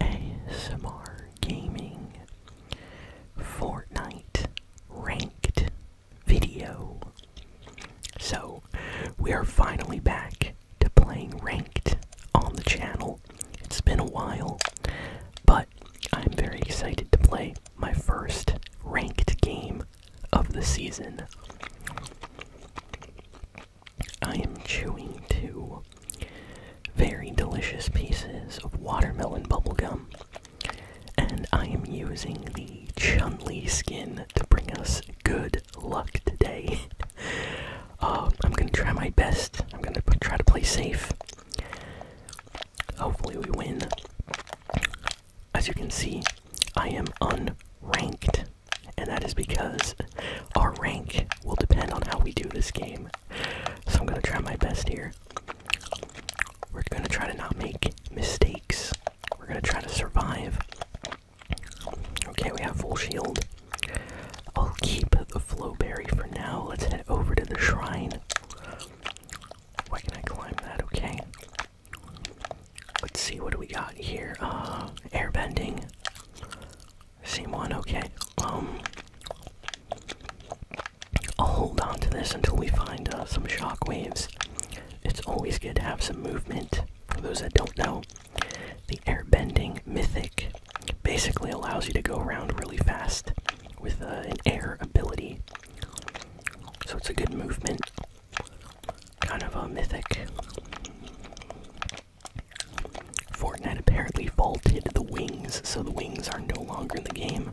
ASMR Gaming Fortnite Ranked video. So, we are finally back to playing Ranked on the channel. It's been a while, but I'm very excited to play my first ranked game of the season. I am chewing two very delicious pieces of watermelon bubblegum, and I am using the Chun Li skin to bring us good luck today. Uh, I'm gonna try my best, I'm gonna try to play safe. Hopefully, we win. As you can see, I am unranked, and that is because our rank will depend on how we do this game. So I'm gonna try my best here. We're gonna try to not make mistakes. We're gonna try to survive. Okay, we have full shield. I'll keep the flow berry for now. Let's head over to the shrine. Why can I climb that? Okay. Let's see what do we got here. Uh, airbending. Scene one, okay. Um, I'll hold on to this until we find uh, some shock waves. It's always good to have some movement. For those that don't know, the air bending mythic basically allows you to go around really fast with uh, an air ability. So it's a good movement. Kind of a mythic. Fortnite apparently vaulted the wings, so the wings are no longer in the game.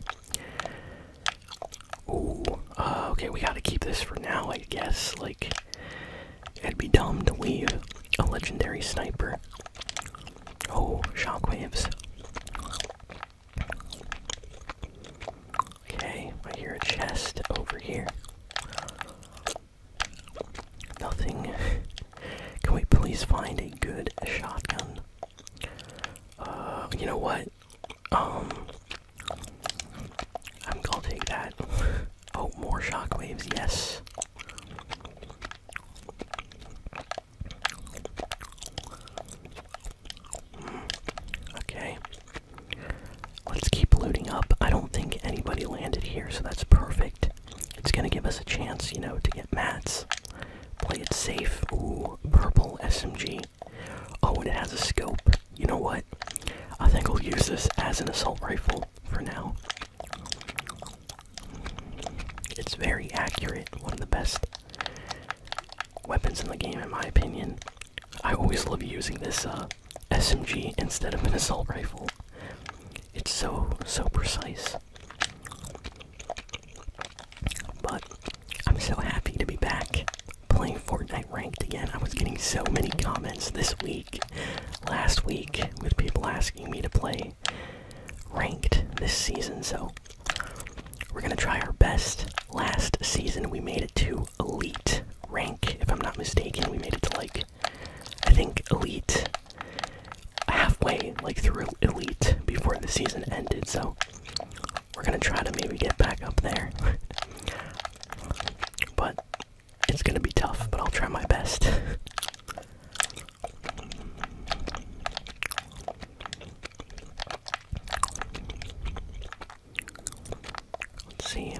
Ooh, uh, okay, we gotta keep this for now, I guess. Like, it'd be dumb to leave a legendary sniper. Oh, shockwaves. Okay, I hear a chest over here. Nothing. Can we please find a good shotgun? Uh, you know what? Um, I'm gonna take that. Oh, more shockwaves, yes. Hmm, okay. Let's keep looting up. I don't think anybody landed here, so that's perfect. It's gonna give us a chance, you know, to get mats. Play it safe. Ooh, purple SMG. Oh, and it has a scope. You know what? I think I'll use this as an assault rifle for now. It's very accurate. One of the best weapons in the game, in my opinion. I always love using this uh, SMG instead of an assault rifle. It's so, so precise. But I'm so happy to be back playing Fortnite ranked again. I was getting so many comments this week, last week, with people asking me to play ranked this season. So we're going to try our best. Last season we made it to elite rank, if I'm not mistaken. We made it to like I think elite halfway like through elite before the season ended, so we're gonna try to maybe get back up there. but it's gonna be tough, but I'll try my best. Let's see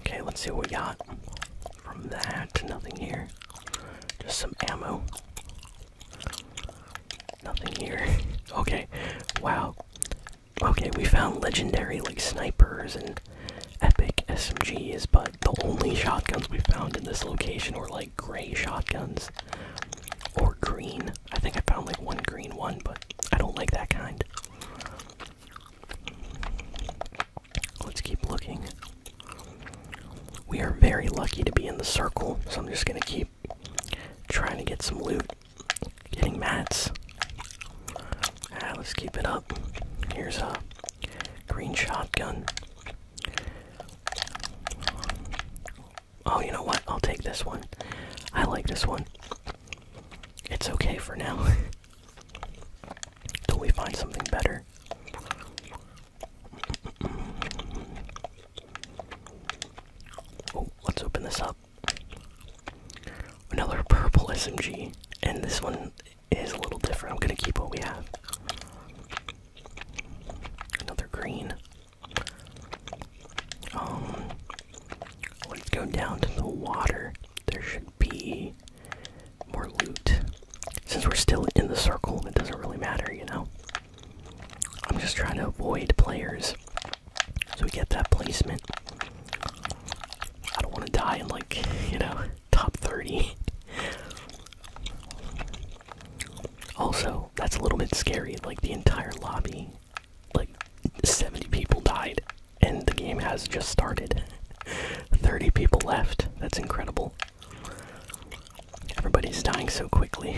Okay, let's see what we got from that. Nothing here. Just some ammo. Nothing here. okay, wow. Okay, we found legendary like snipers and epic SMGs, but the only shotguns we found in this location were like gray shotguns or green. I think I found like one green one, but I don't like that kind. Let's keep looking. We are very lucky to be in the circle, so I'm just gonna keep trying to get some loot. Getting mats. Ah, let's keep it up. Here's a green shotgun. Oh, you know what? I'll take this one. I like this one it's okay for now. Till we find something better. let's open this up. Another purple SMG, and this one is a little different. I'm gonna keep what we have. Another green. Um, let's go down to the water. There should be more loot. Since we're still in the circle, it doesn't really matter, you know? I'm just trying to avoid players so we get that placement. I don't want to die in, like, you know, top 30. also, that's a little bit scary, like, the entire lobby like 70 people died and the game has just started. 30 people left. That's incredible. Everybody's dying so quickly.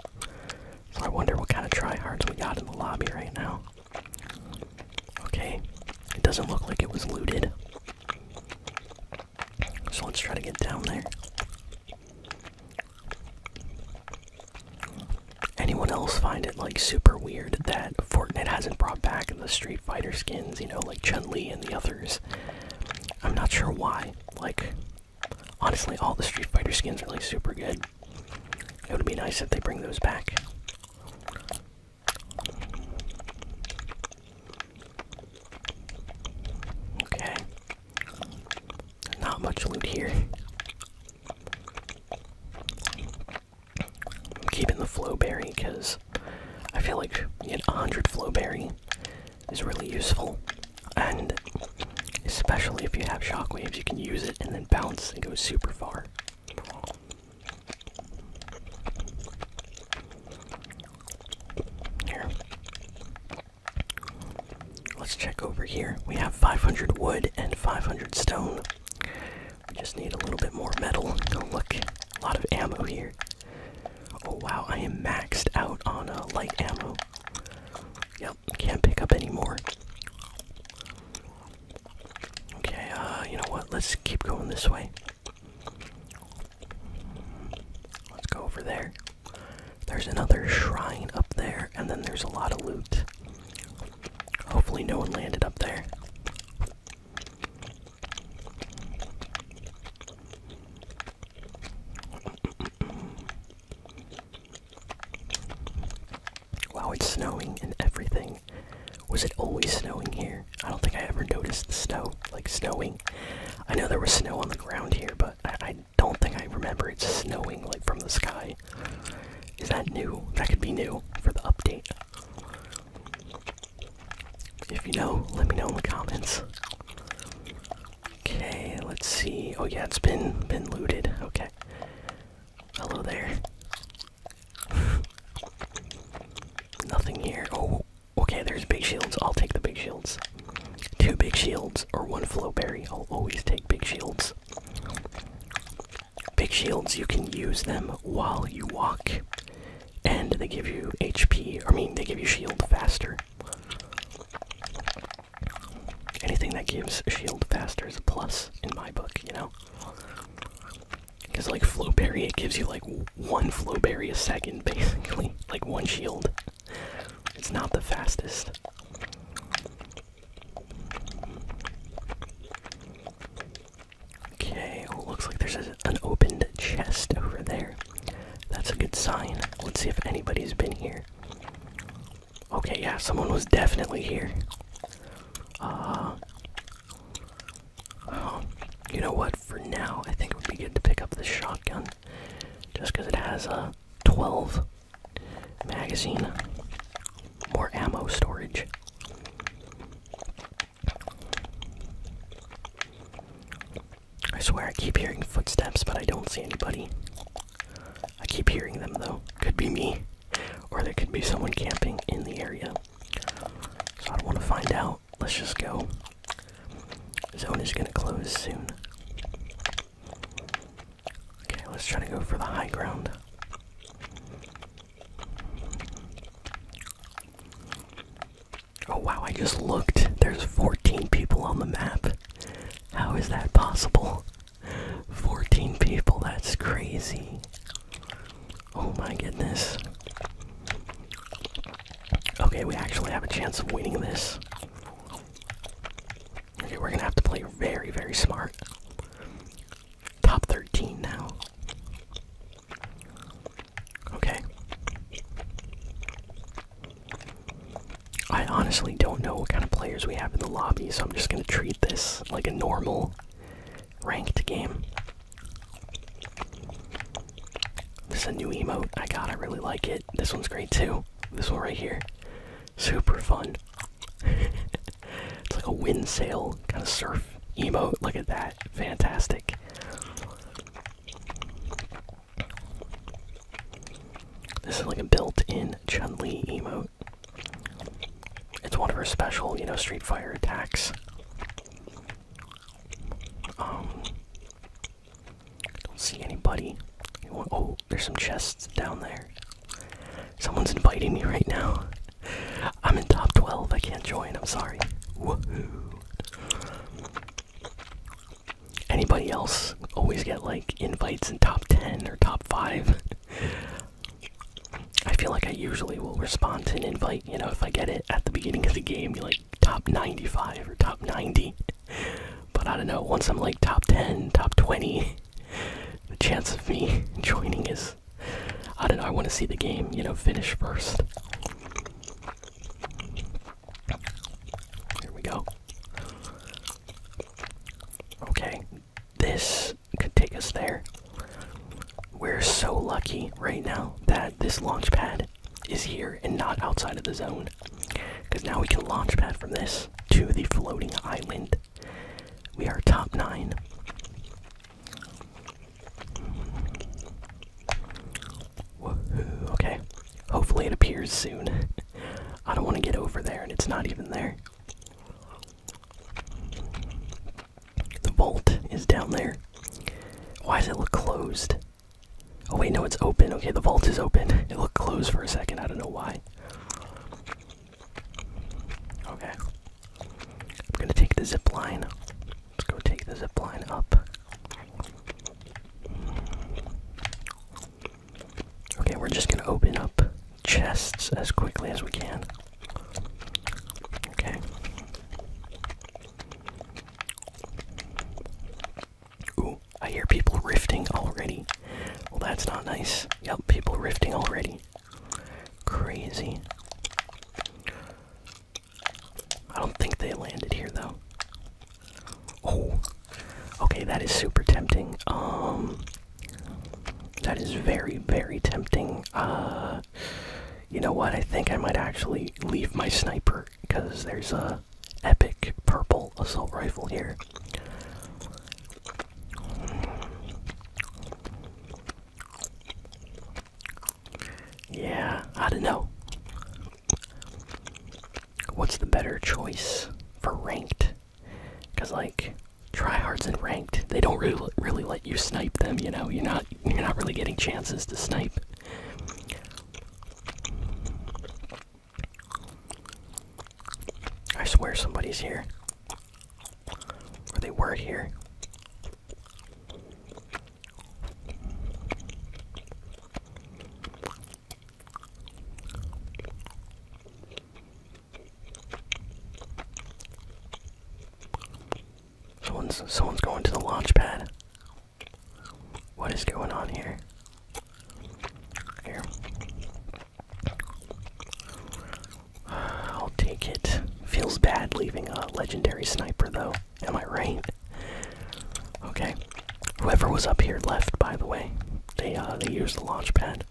so I wonder what kind of tryhards we got in the lobby right now. Okay, it doesn't look like it was looted. So let's try to get down there. Anyone else find it like super weird that Fortnite hasn't brought back the Street Fighter skins, you know, like Chun Li and the others? I'm not sure why. Like, honestly, all the Street Fighter skins are like super good. It would be nice if they bring those back. Okay. Not much loot here. I'm keeping the flowberry because I feel like you get 100 flowberry is really useful, and especially if you have shockwaves, you can use it and then bounce and go super far. Here. Let's check over here. We have 500 wood and 500 stone. We just need a little bit more metal. do look. A lot of ammo here. Oh wow, I am maxed out on uh, light ammo. Yep, can't pick up any more. Okay, uh, you know what? Let's keep going this way. Let's go over there. There's another shrine up there, and then there's a lot of loot. Hopefully, no one landed up there. Wow, it's snowing and everything. Was it always snowing here? I don't think I ever noticed the snow, like snowing. I know there was snow on the ground here, but I, I don't think I remember it snowing like from the sky. Is that new? That could be new for the update. If you know, let me know in the comments. Okay, let's see. Oh yeah, it's been been looted. Okay. Hello there. Nothing here. Oh, okay, there's big shields. I'll take the big shields. Two big shields or one flow berry. I'll always take big shields. Big shields, you can use them while you walk, and they give you HP, I mean, they give you shield faster. Anything that gives shield faster is a plus in my book, you know? Because, like, Flowberry, it gives you, like, one Flowberry a second, basically. Like, one shield. It's not the fastest. Okay, well, looks like there's an opened chest over there. That's a good sign. Let's see if anybody's been here. Okay, yeah, someone was definitely here. Uh, you know what? For now, I think it would be good to pick up this shotgun, just because it has a uh, 12 magazine, more ammo storage. I swear I keep hearing footsteps, but I don't see anybody. I keep hearing them though. Could be me, or there could be someone camping in the area. So I don't want to find out. Let's just go. Zone is gonna close soon. Okay, let's try to go for the high ground. Oh wow, I just looked. There's 14 people on the map. How is that possible? 14 people, that's crazy. Oh my goodness. Okay, we actually have a chance of winning this. Okay, we're gonna have to play very, very smart. Top 13 now. Okay. I honestly don't know what kind of players we have in the lobby, so I'm just gonna treat this like a normal ranked game. This is a new emote I got, I really like it. This one's great too. This one right here. Super fun it's like a wind sail kind of surf emote. Look at that. Fantastic. This is like a built in Chun Li emote. It's one of her special, you know, Street fire attacks. Um, don't see anybody. Oh, there's some chests down there. Someone's inviting me right now. I'm in top 12. I can't join. I'm sorry. Anybody else always get like invites in top 10 or top 5? I feel like I usually will respond to an invite, you know, if I get it at the beginning of the game, like top 95 or top 90. But I don't know, once I'm like top 10, top 20, the chance of me joining is. I don't know, I want to see the game, you know, finish first. Here we go. Okay, this could take us there. We're so lucky right now that this launch pad is here and not outside of the zone. Because now we can launch pad from this to the floating island. We are top nine. Woohoo, okay. Hopefully it appears soon. I don't want to get over there and it's not even there. The vault is down there. Why does it look closed? Oh wait, no, it's open. Okay, the vault is open. It looked closed for a second. I don't know why. Okay. I'm gonna take the zip Let's go take the zip up. Okay, we're just gonna open up chests as quickly as we can. Okay. Ooh, I hear people riffing already. Well, that's not nice. Yep, people riffing already. Crazy. I don't think they landed here though. Oh. Okay, that is super tempting. Um that is very very tempting. Uh you know what? I think I might actually leave my sniper cuz there's a epic purple assault rifle here. Yeah, I don't know. What's the better choice for ranked? Because like tryhards in ranked, they don't really really let you snipe them. You know, you're not you're not really getting chances to snipe. I swear somebody's here. Or they were here. Someone's someone's going to the launch pad. What is going on here? Here. I'll take it. Feels bad leaving a legendary sniper, though. Am I right? Okay. Whoever was up here left, by the way. They uh, they used the launch pad.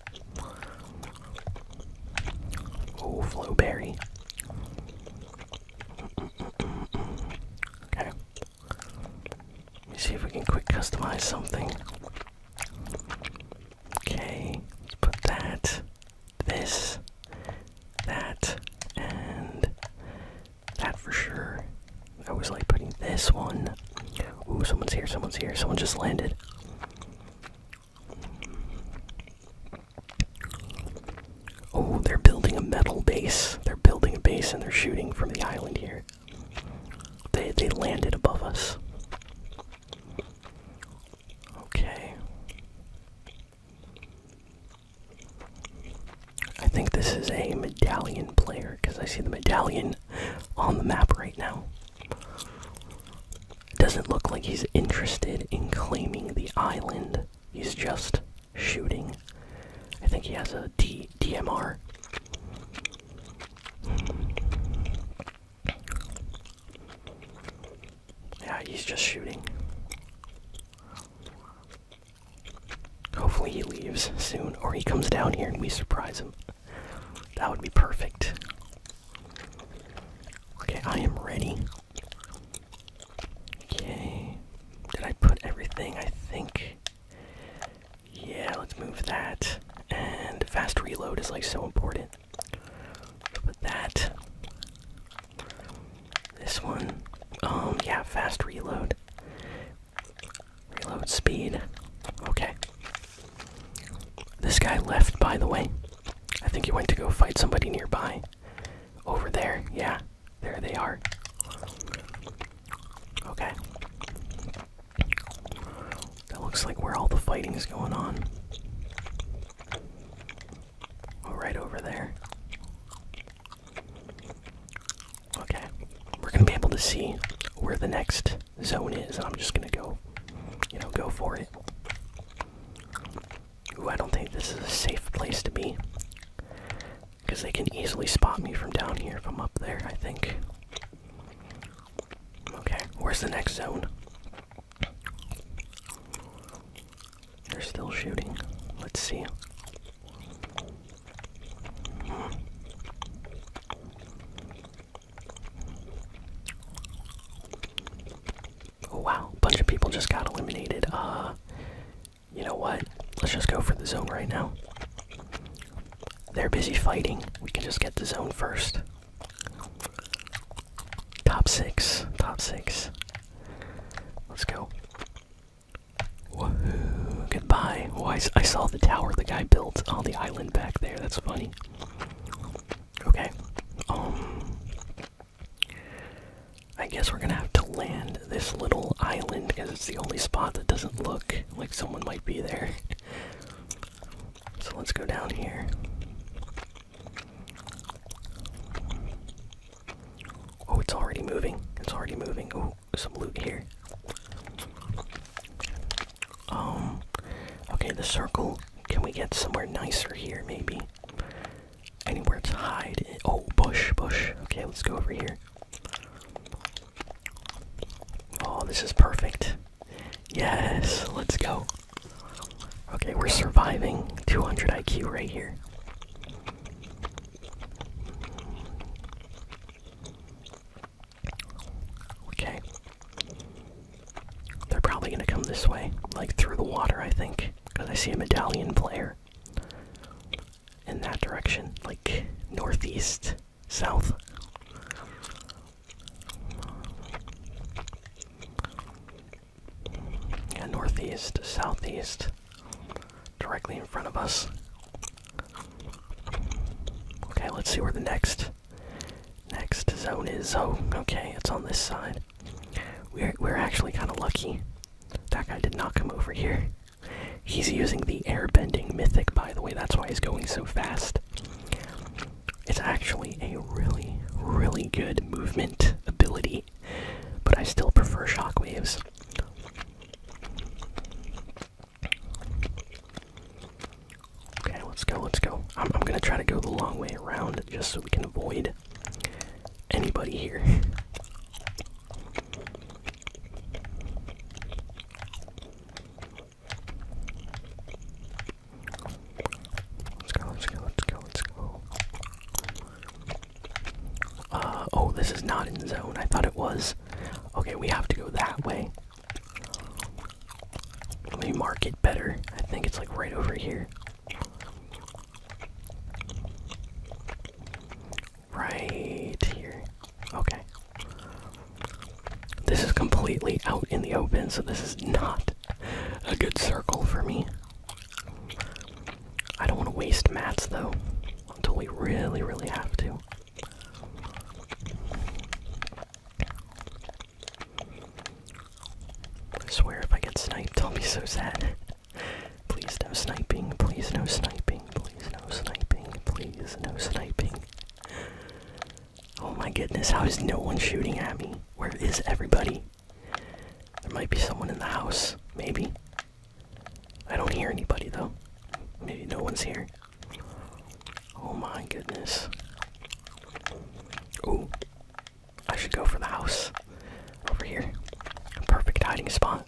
Oh, flow berry. Okay. Let me see if we can quick customize something. Okay, let's put that, this, that, and that for sure. I was like putting this one. Ooh, someone's here, someone's here, someone just landed. Oh, they're building a metal base. They're building a base and they're shooting from the island here. They they landed above us. Okay. I think this is a medallion player because I see the medallion on the map right now. doesn't look like he's interested in claiming the island. He's just shooting. I think he has a D DMR. Yeah, he's just shooting. Hopefully, he leaves soon, or he comes down here and we surprise him. That would be perfect. Okay, I am ready. Okay. Did I put everything? I think. Yeah, let's move that. And fast reload is like so important. But that. This one. Um, yeah, fast reload. Reload speed. Okay. This guy left, by the way. I think he went to go fight somebody nearby. Over there, yeah. There they are. Okay. That looks like where all the fighting is going on. Oh, right over there. Okay. We're gonna be able to see where the next zone is, and I'm just gonna go, you know, go for it. Ooh, I don't think this is a safe place to be. Because they can easily spot me from down here if I'm up there, I think. Okay, where's the next zone? They're still shooting. Let's see. Hmm. Oh, wow, A bunch of people just got eliminated. Uh, you know what? Let's just go for the zone right now. They're busy fighting. We can just get the zone first. Top six. Top six. Let's go. Woohoo. Goodbye. Oh, I saw the tower the guy built on the island back there. That's funny. Okay. Um. I guess we're gonna have to land this little island because it's the only spot that doesn't look like someone might be there. so let's go down here. Oh, it's already moving. It's already moving. Oh, some loot here. Um, okay, the circle. Can we get somewhere nicer here, maybe? Anywhere to hide. Oh, bush, bush. Okay, let's go over here. Oh, this is perfect. Yes, let's go. Okay, we're surviving 200 IQ right here. Okay. They're probably going to come this way, like through the water, I think, because I see a medallion player in that direction, like northeast, south. Yeah, northeast, southeast, directly in front of us. Okay, let's see where the next next zone is. Oh, okay, it's on this side. We're we're actually kind of lucky. That guy did not come over here. He's using the airbending mythic, by the way, that's why he's going so fast. It's actually a really, really good movement ability, but I still prefer shockwaves. Okay, let's go, let's go. I'm, I'm gonna try to go the long way around just so we can avoid anybody here. Let's go, let's go, let's go, let's go. Uh, oh, this is not in zone. I thought it was. Okay, we have to go that way. Let me mark it better. I think it's like right over here. Right here. Okay. This is completely out in the open, so this is not a good circle for me. I don't want to waste mats though until we really, really have to. I swear if I get sniped, I'll be so sad. please no sniping, please no sniping. Please no sniping. Please no sniping. Oh my goodness, how is no one shooting at me? Where is everybody? There might be someone in the house, maybe. I don't hear anybody though. Maybe no one's here. Oh my goodness. Ooh. I should go for the house. Over here. Perfect hiding spot.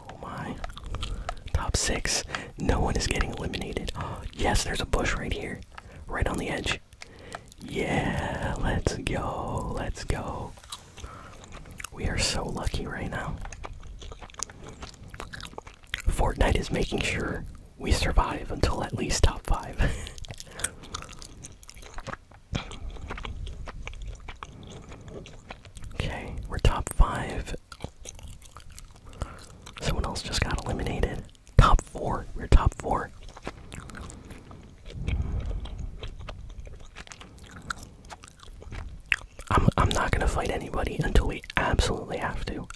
Oh my. Top six. No one is getting eliminated. yes, there's a bush right here. Right on the edge. Yeah, let's go. Let's go. We are so lucky right now. Fortnite is making sure we survive until at least top five. Okay, we're top five. Someone else just got eliminated. Top four. We're top four. I'm I'm not gonna fight anybody until we absolutely have to.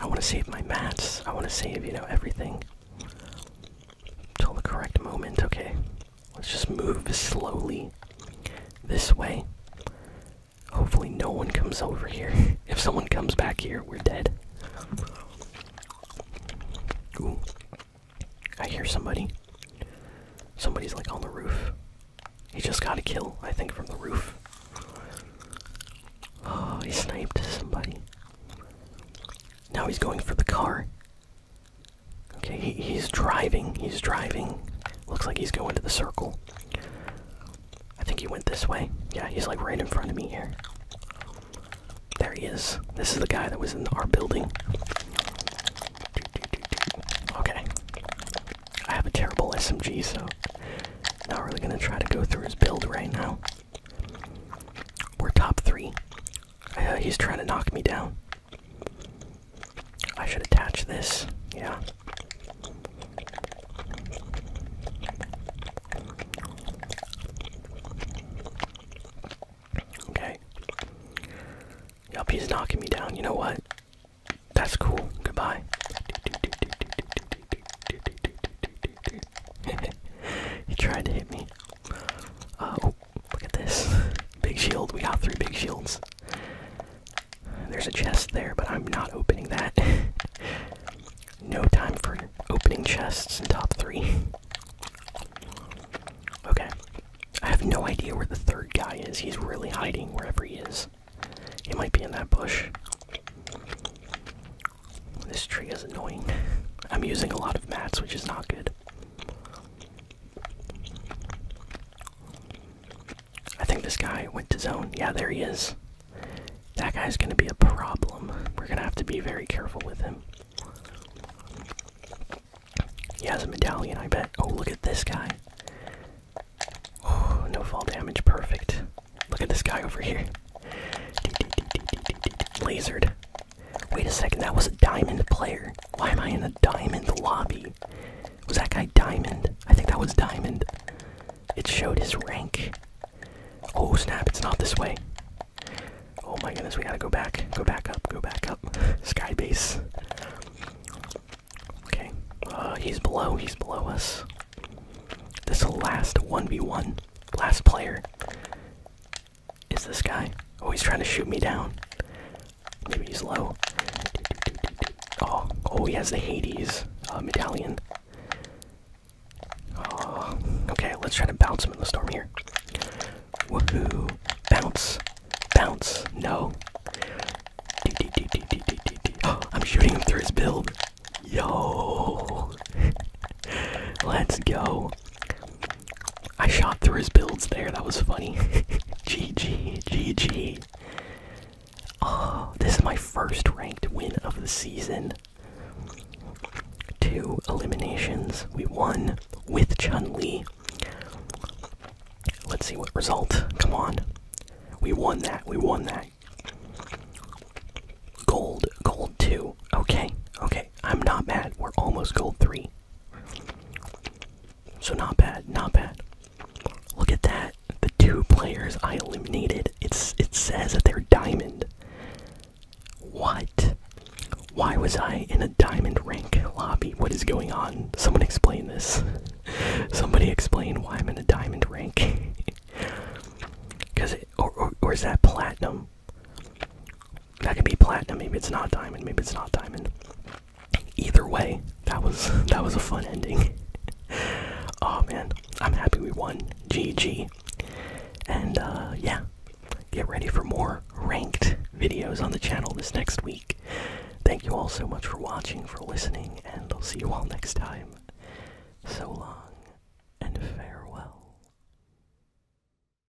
I wanna save my mats. I wanna save, you know, everything. Until the correct moment. Okay, let's just move slowly this way. Hopefully, no one comes over here. if someone comes back here, we're dead. I hear somebody. Somebody's like on the roof. He just got a kill, I think, from the roof. Oh, he sniped somebody. Now he's going for the car. Okay, he's driving. He's driving. Looks like he's going to the circle. I think he went this way. Yeah, he's like right in front of me here. There he is. This is the guy that was in our building. Okay. I have a terrible SMG, so not really gonna try to go through his build right now. We're top three. Uh, he's trying to knock me down. I should attach this, yeah. Okay. Yup, he's knocking me down. You know what? That's cool. Goodbye. he tried to hit me. Uh, oh, Look at this. Big shield. We got three big shields. There's a chest there, but I'm not opening that. no time for opening chests in top three. okay. I have no idea where the third guy is. He's really hiding wherever he is. He might be in that bush. This tree is annoying. I'm using a lot of mats, which is not good. I think this guy went to zone. Yeah, there he is. That guy's gonna be a problem. We're gonna have to be very careful with him. He has a medallion, I bet. Oh, look at this guy. Oh, no fall damage. Perfect. Look at this guy over here. Lasered. Wait a second, that was a diamond player. Why am I in the diamond lobby? Was that guy diamond? I think that was diamond. It showed his rank. Oh snap, it's not this way. Oh my goodness, we gotta go back. Go back up, go back up. Skybase. Okay. Uh, he's below, he's below us. This last 1v1, last player. Is this guy? Oh, he's trying to shoot me down. Maybe he's low. Oh, oh, he has the Hades uh, medallion. Oh, okay, let's try to bounce him in the storm here. Woohoo! Bounce, bounce. No. Oh, I'm shooting him through his build. Yo. let's go. I shot through his builds there. That was funny. GG, GG. Oh, this is my first ranked win of the season. Two eliminations. We won with Chun Li. Let's see what result. Come on. We won that. We won that. Gold. Gold 2. Okay. Okay. I'm not bad. We're almost gold three. So not bad, not bad. Look at that. The two players I eliminated. It's it says that they're diamond. What? Why was I in a diamond rank lobby? What is going on? Someone explain this. Somebody explain why I'm in a diamond rank. Cause it, or or is that platinum? That could be platinum. Maybe it's not diamond. Maybe it's not diamond. Either way, that was that was a fun ending. oh man, I'm happy we won. GG. And uh, yeah, get ready for more ranked videos on the channel this next week. Thank you all so much for watching, for listening, and I'll see you all next time. So long and farewell.